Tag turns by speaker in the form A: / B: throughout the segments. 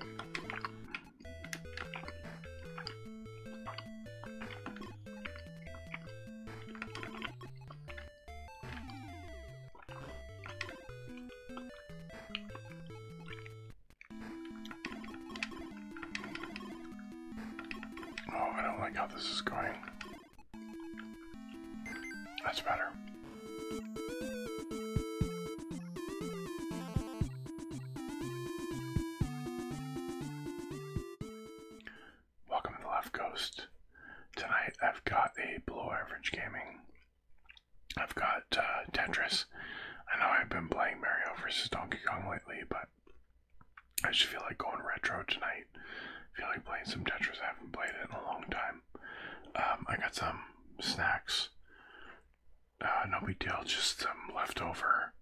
A: Oh, I don't like how this is going. That's better. Welcome to the Left Coast. Tonight I've got a below average gaming. I've got uh, Tetris. I know I've been playing Mario versus Donkey Kong lately, but I just feel like going retro tonight. I feel like playing some Tetris. I haven't played it in a long time. Um, I got some snacks. Uh, no big deal, just some um, leftover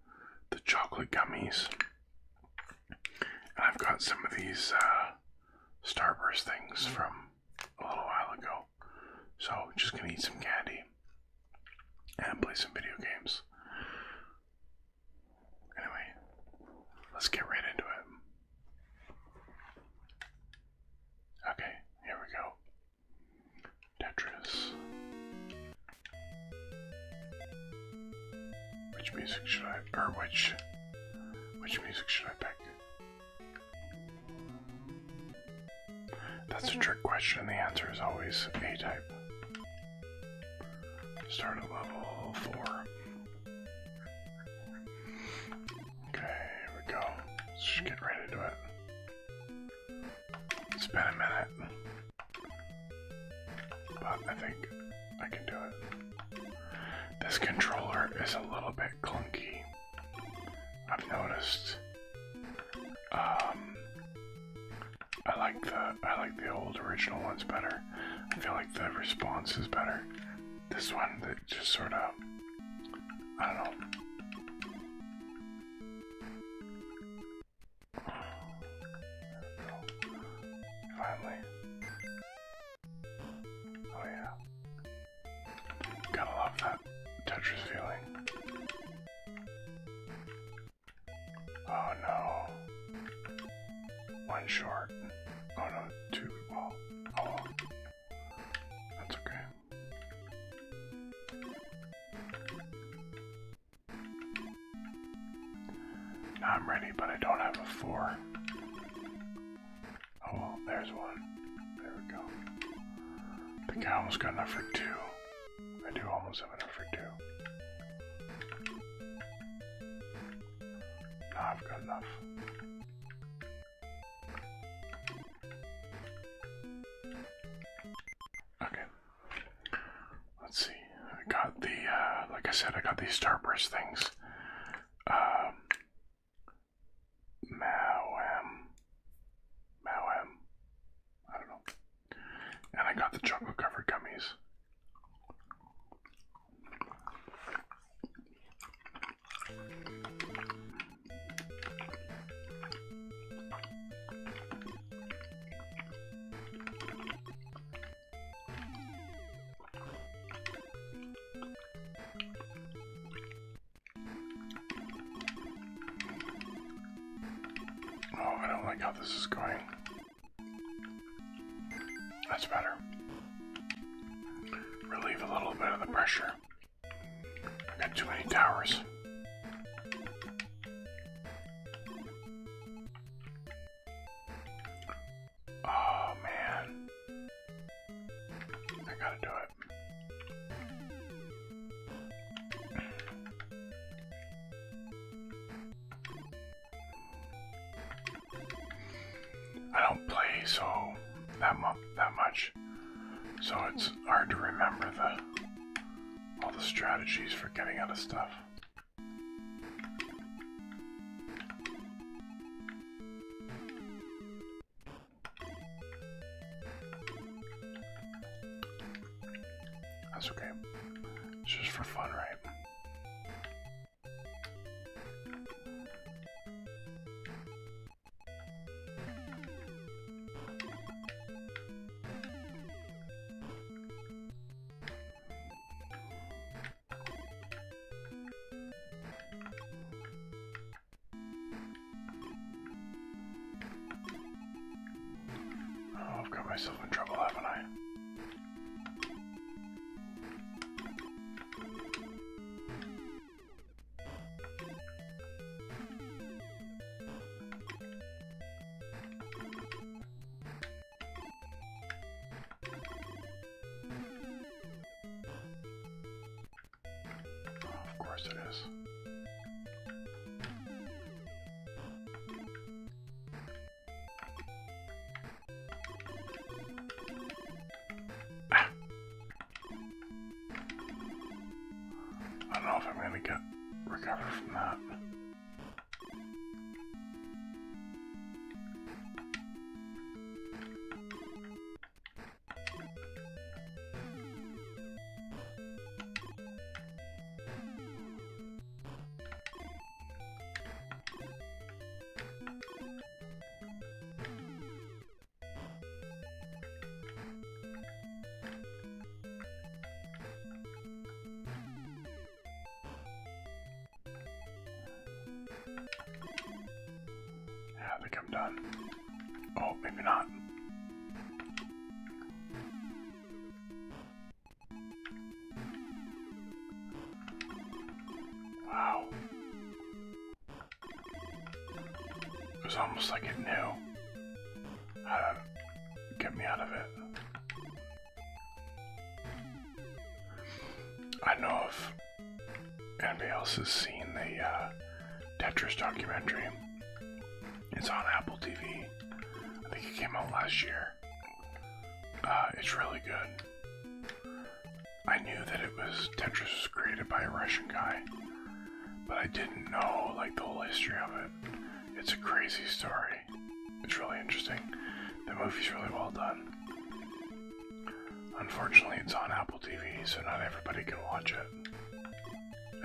A: the chocolate gummies. And I've got some of these uh, Starburst things mm. from a little while ago. So just gonna eat some candy and play some video games. Anyway, let's get right into it. Okay, here we go. Tetris. Which music should I, or which, which music should I pick? That's a trick question. The answer is always A type. Start at level four. Okay, we go. just get right into it. It's been a minute. But I think I can do it. This controller is a little bit clunky. I've noticed. Um I like the I like the old original ones better. I feel like the response is better. This one that just sort of I don't know. Finally. Oh yeah. Gotta love that Tetris feeling. Oh no. One short. Oh no, two. oh, that's okay. I'm ready, but I don't have a four. Oh, there's one. There we go. think I almost got enough for two. I do almost have enough for two. No, I've got enough. Okay. Let's see. I got the, uh, like I said, I got these Starburst things. Um, Mauam. I don't know. And I got the chocolate covered gummies. Oh, I don't like how this is going. That's better. Relieve a little bit of the pressure. I got too many towers. Oh man. I gotta do it. I don't play so that mu that much. So it's hard to remember the all the strategies for getting out of stuff. That's okay. It's just for fun, right? Oh, I've got myself in trouble, haven't I? Of course it is. I don't know if I'm gonna get recovered from that. Yeah, I think I'm done. Oh, maybe not. Wow. It was almost like it knew. Uh, get me out of it. I know if anybody else has seen the uh, Tetris documentary. It's on Apple TV. I think it came out last year. Uh, it's really good. I knew that it was Tetris was created by a Russian guy, but I didn't know like the whole history of it. It's a crazy story. It's really interesting. The movie's really well done. Unfortunately, it's on Apple TV, so not everybody can watch it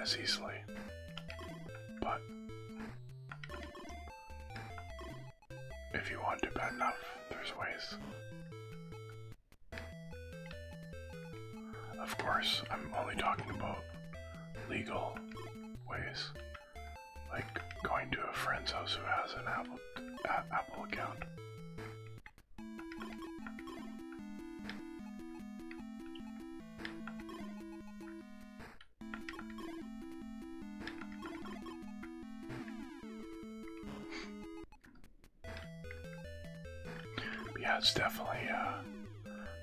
A: as easily. But if you want to bad enough, there's ways. Of course, I'm only talking about legal ways, like going to a friend's house who has an Apple Apple account. yeah, it's definitely uh,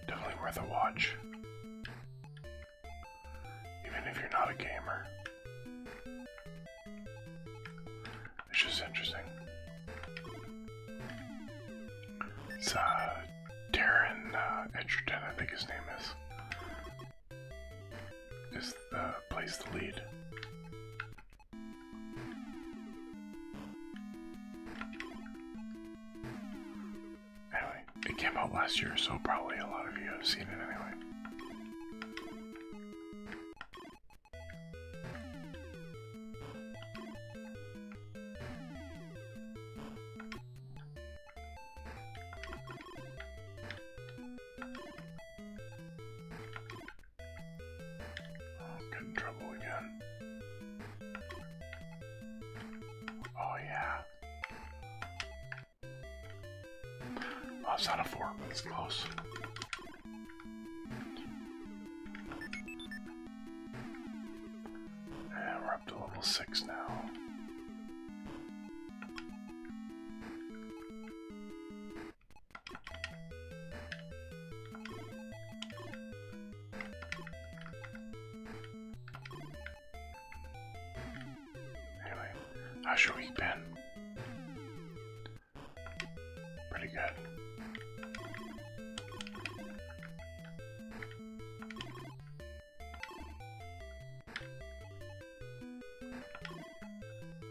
A: Definitely worth a watch. Even if you're not a gamer. It's just interesting. It's uh, Darren uh, Edgerton, I think his name is. Is plays the lead. Anyway, it came out last year, so probably a lot of you have seen it anyway. Oh, i trouble again. Oh, yeah. Well, oh, it's not a four, but it's close. And we're up to level six now. Anyway, how's your week been? Pretty good.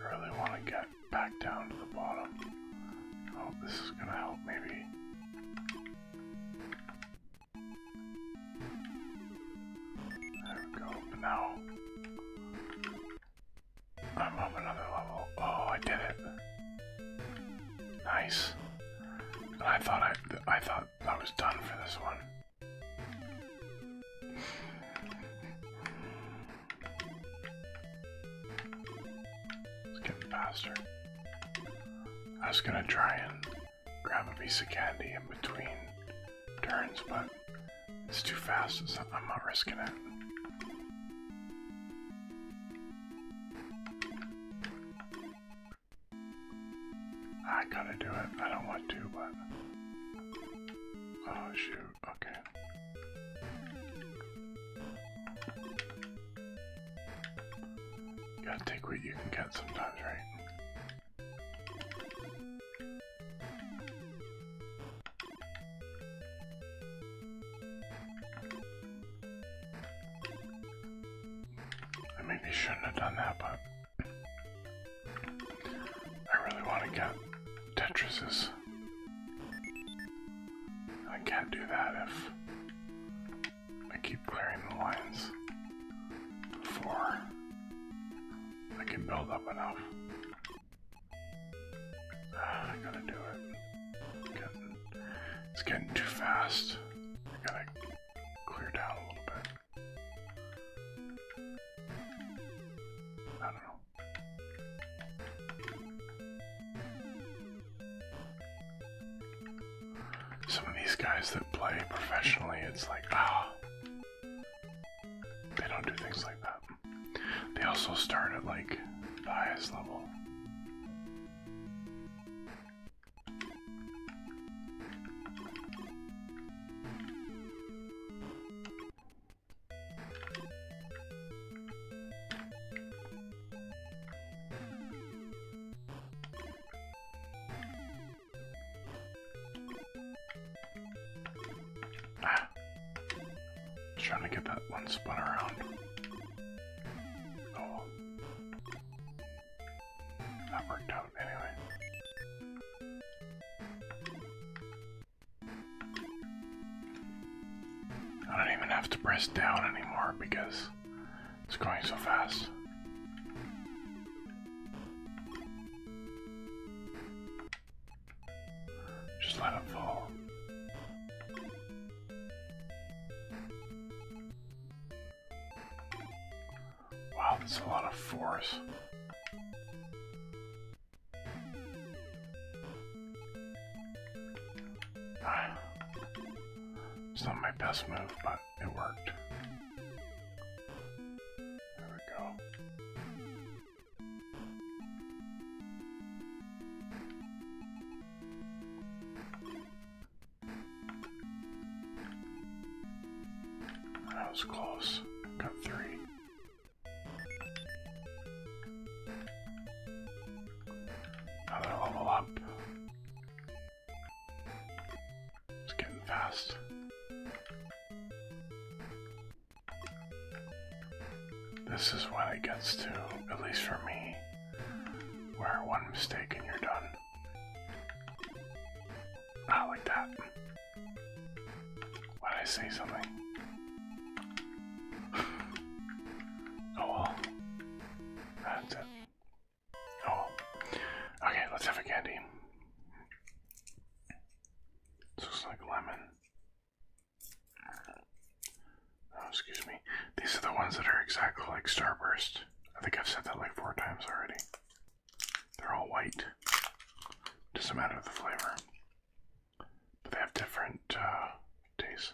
A: I really want to get back down to the bottom. I oh, this is going to help maybe. There we go, now I'm on another level. Oh, I did it. Nice. I thought I, I thought I was done for this one. Let's faster. I was gonna try it grab a piece of candy in between turns, but it's too fast, so I'm not risking it. I gotta do it. I don't want to, but... Oh, shoot. Okay. You gotta take what you can get sometimes, right? I maybe shouldn't have done that, but I really want to get Tetrises. I can't do that if I keep clearing the lines before I can build up enough. Ah, I gotta do it. it's getting too fast. I gotta clear down a little bit. I don't know some of these guys that play professionally, it's like, ah, they don't do things like that. They also start at like the highest level. trying to get that one spun around. Oh. That worked out anyway. I don't even have to press down anymore because it's going so fast. Just let it fall. Wow, that's a lot of force. Ah. It's not my best move, but it worked. There we go. That was close. Got three. Now that I level up, it's getting fast. This is when it gets to, at least for me, where one mistake and you're done. Not ah, like that. Why did I say something? oh well. That's it. Oh, okay, let's have a candy. This like lemon. Oh, excuse me. These are the ones that are exactly like Starburst. I think I've said that like four times already. They're all white. Doesn't matter the flavor. But they have different uh, tastes.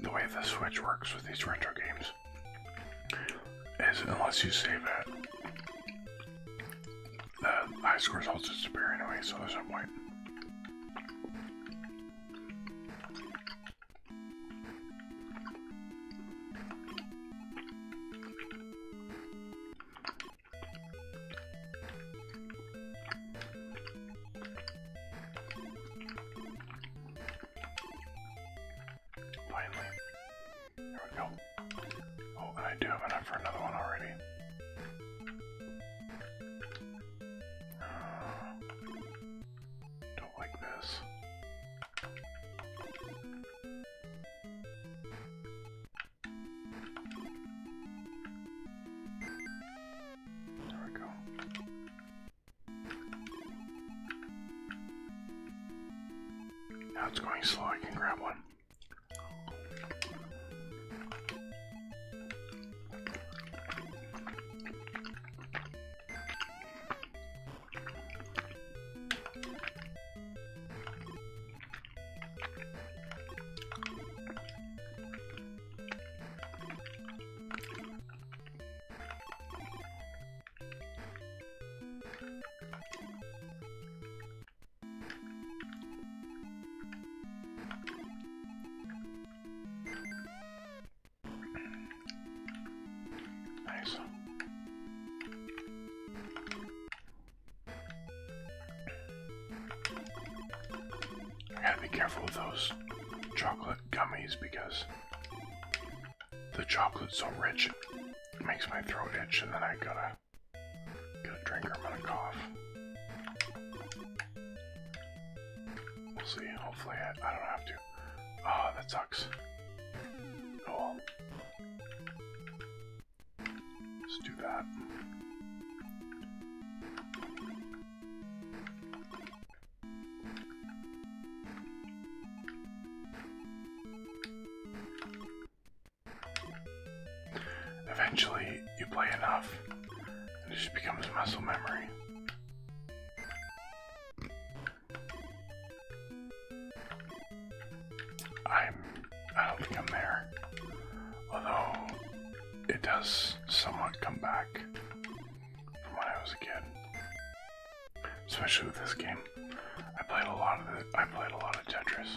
A: the way the Switch works with these retro games is unless you save it, the high score results disappear anyway, so there's no point. Finally. There we go. Oh, I do have enough for another one already. Uh, don't like this.
B: There we go.
A: Now it's going slow, I can grab one. Nice. I gotta be careful with those chocolate gummies because the chocolate's so rich it makes my throat itch and then I gotta get a drink or I'm gonna cough. We'll see. Hopefully I, don't have to. Ah, that sucks. Oh Let's do that. Eventually, you play enough, and it just becomes muscle memory. I'm. I don't think I'm there. Although, it does somewhat come back from when I was a kid. Especially with this game. I played a lot of I played a lot of Tetris.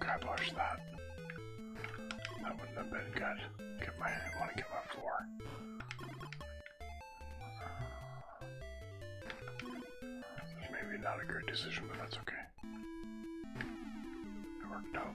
A: Can I push that? That wouldn't have been good. Get my want to get my floor. Maybe not a great decision, but that's okay. It worked out.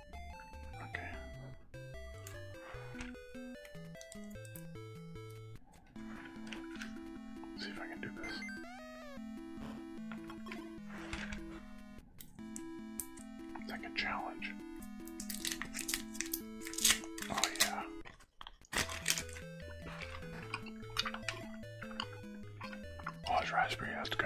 A: Okay. see if I can do this. It's challenge. Oh yeah. Oh, this raspberry has to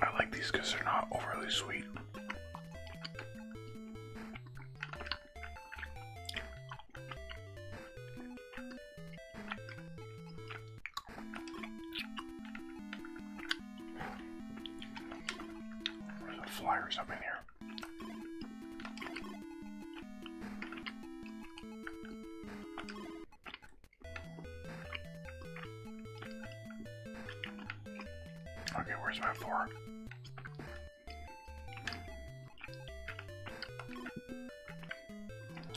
A: I like these because they're not overly sweet. There's a fly or something here. Okay, where's my four?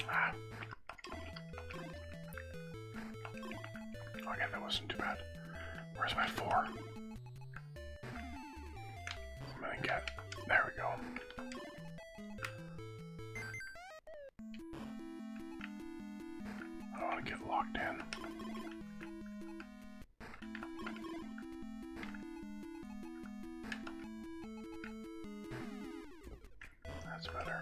A: Ah. Okay, that wasn't too bad. Where's my four? I'm gonna get, there we go. I want to get locked in. That's better.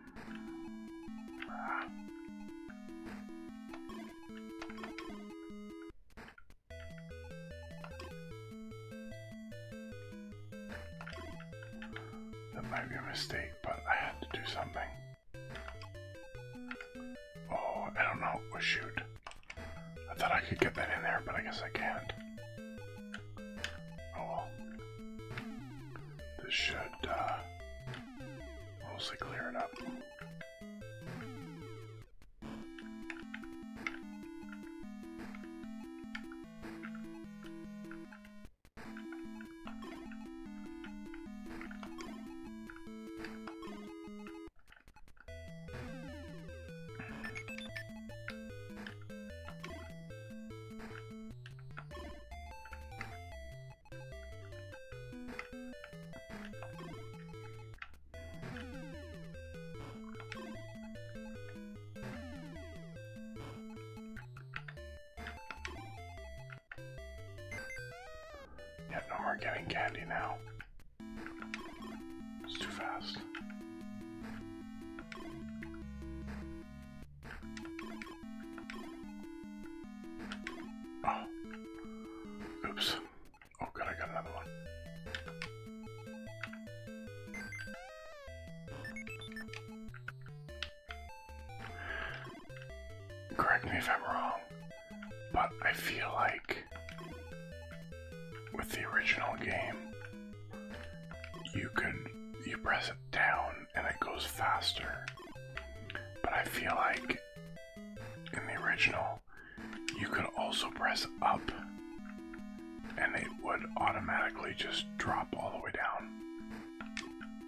A: That might be a mistake, but I had to do something. Oh, I don't know. Oh, shoot. I thought I could get that in there, but I guess I can't. Oh well. This should, uh, Mostly clearing up. Yep, no more getting candy now. It's too fast. Oh. Oops. Oh good, I got another one. Correct me if I'm wrong, but I feel like with the original game, you could you press it down and it goes faster. But I feel like in the original, you could also press up and it would automatically just drop all the way down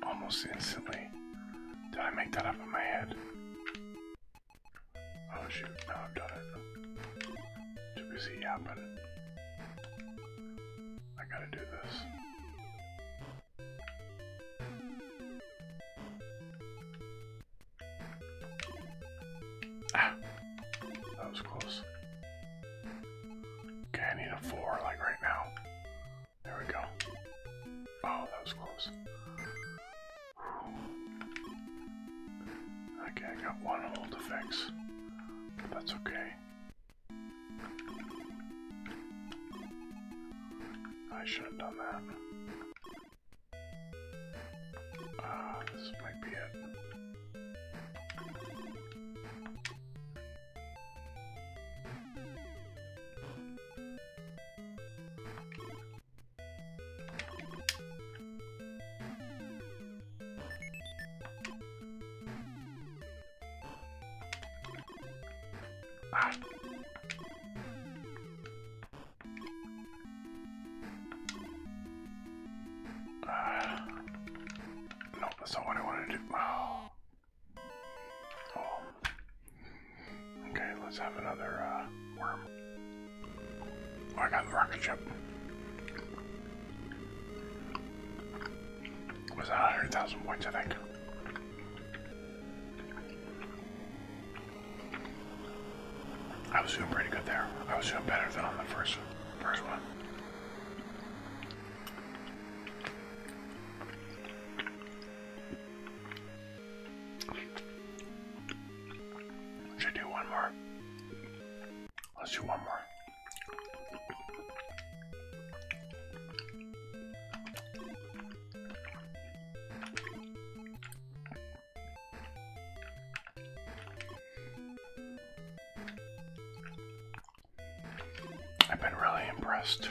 A: almost instantly. Did I make that up in my head? Oh shoot, no, I've done it. Too busy yapping. I gotta do this. Ah, that was close. Okay, I need a four, like right now. There we go. Oh, that was close. Okay, I got one hole to fix. that's okay. I should have done that. Ah, this might be it. Ah. Uh, nope, that's not what I wanted to do. Oh. oh. Okay, let's have another uh, worm. Oh, I got the rocket ship. Was that 100,000 points, I think? I was doing pretty good there. I was doing better than on the first first one. Should do one more. Let's do one more. I've been really impressed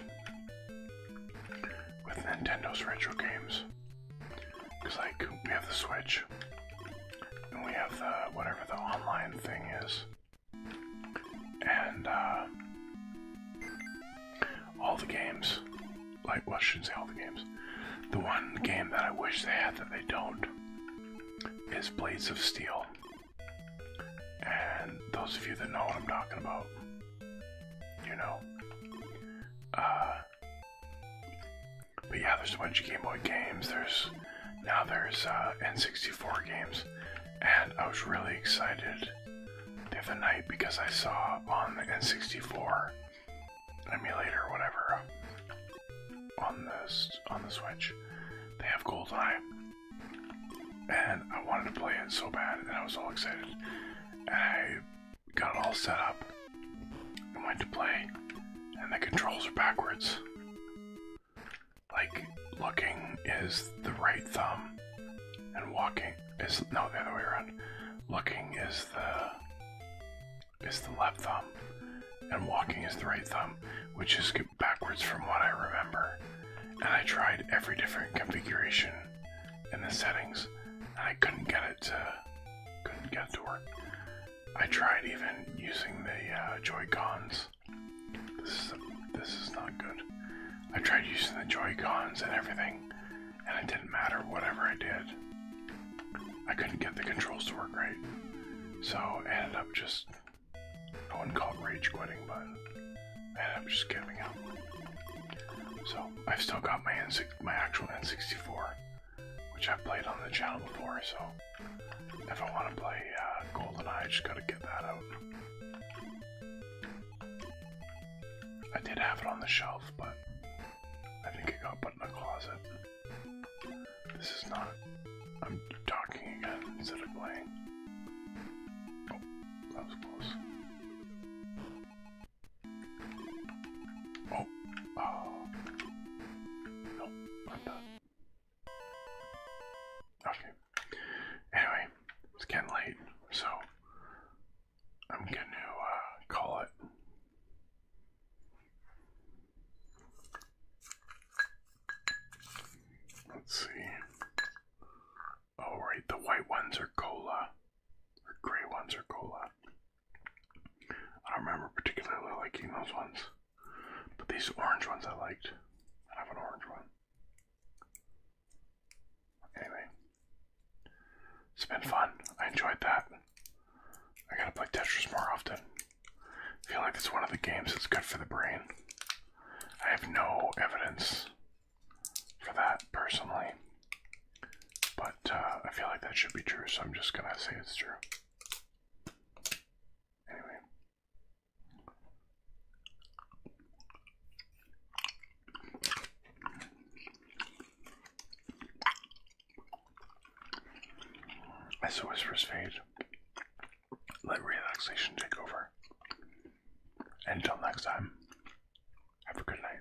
A: with Nintendo's retro games. Because, like, we have the Switch, and we have the whatever the online thing is, and uh, all the games, like, well, I shouldn't say all the games. The one game that I wish they had that they don't is Blades of Steel. And those of you that know what I'm talking about, you know. Uh, but yeah, there's a bunch of Game Boy games. There's now there's uh, N64 games, and I was really excited the other night because I saw on the N64 emulator, whatever, on this on the Switch, they have Gold GoldenEye, and I wanted to play it so bad, and I was all excited, and I got it all set up, and went to play, and the controls are backwards. Like looking is the right thumb, and walking is no the other way around. Looking is the is the left thumb, and walking is the right thumb, which is backwards from what I remember. And I tried every different configuration in the settings, and I couldn't get it to couldn't get to work. I tried even using the uh, Joy Cons. This is this is not good. I tried using the Joy Cons and everything, and it didn't matter whatever I did. I couldn't get the controls to work right. So I ended up just I wouldn't call it rage quitting, but I ended up just giving up. So I've still got my N actual N64, which I've played on the channel before, so if I want to play uh, GoldenEye, I just gotta get that out. I did have it on the shelf, but I think it got put in a closet. This is not. I'm talking again instead of playing. Oh, that was close. Oh, oh. No, I'm done. Okay. Anyway, it's getting late, so I'm going to uh, call it. Let's see. Oh, right, the white ones are cola, or gray ones are cola. I don't remember particularly liking those ones, but these orange ones I liked. I have an orange one. Anyway. It's been fun. I enjoyed that. I gotta play Tetris more often. I feel like it's one of the games that's good for the brain. I have no evidence for that personally, but uh, I feel like that should be true, so I'm just gonna say it's true. Anyway. As the whispers fade, let relaxation take over. Until next time, have a good night.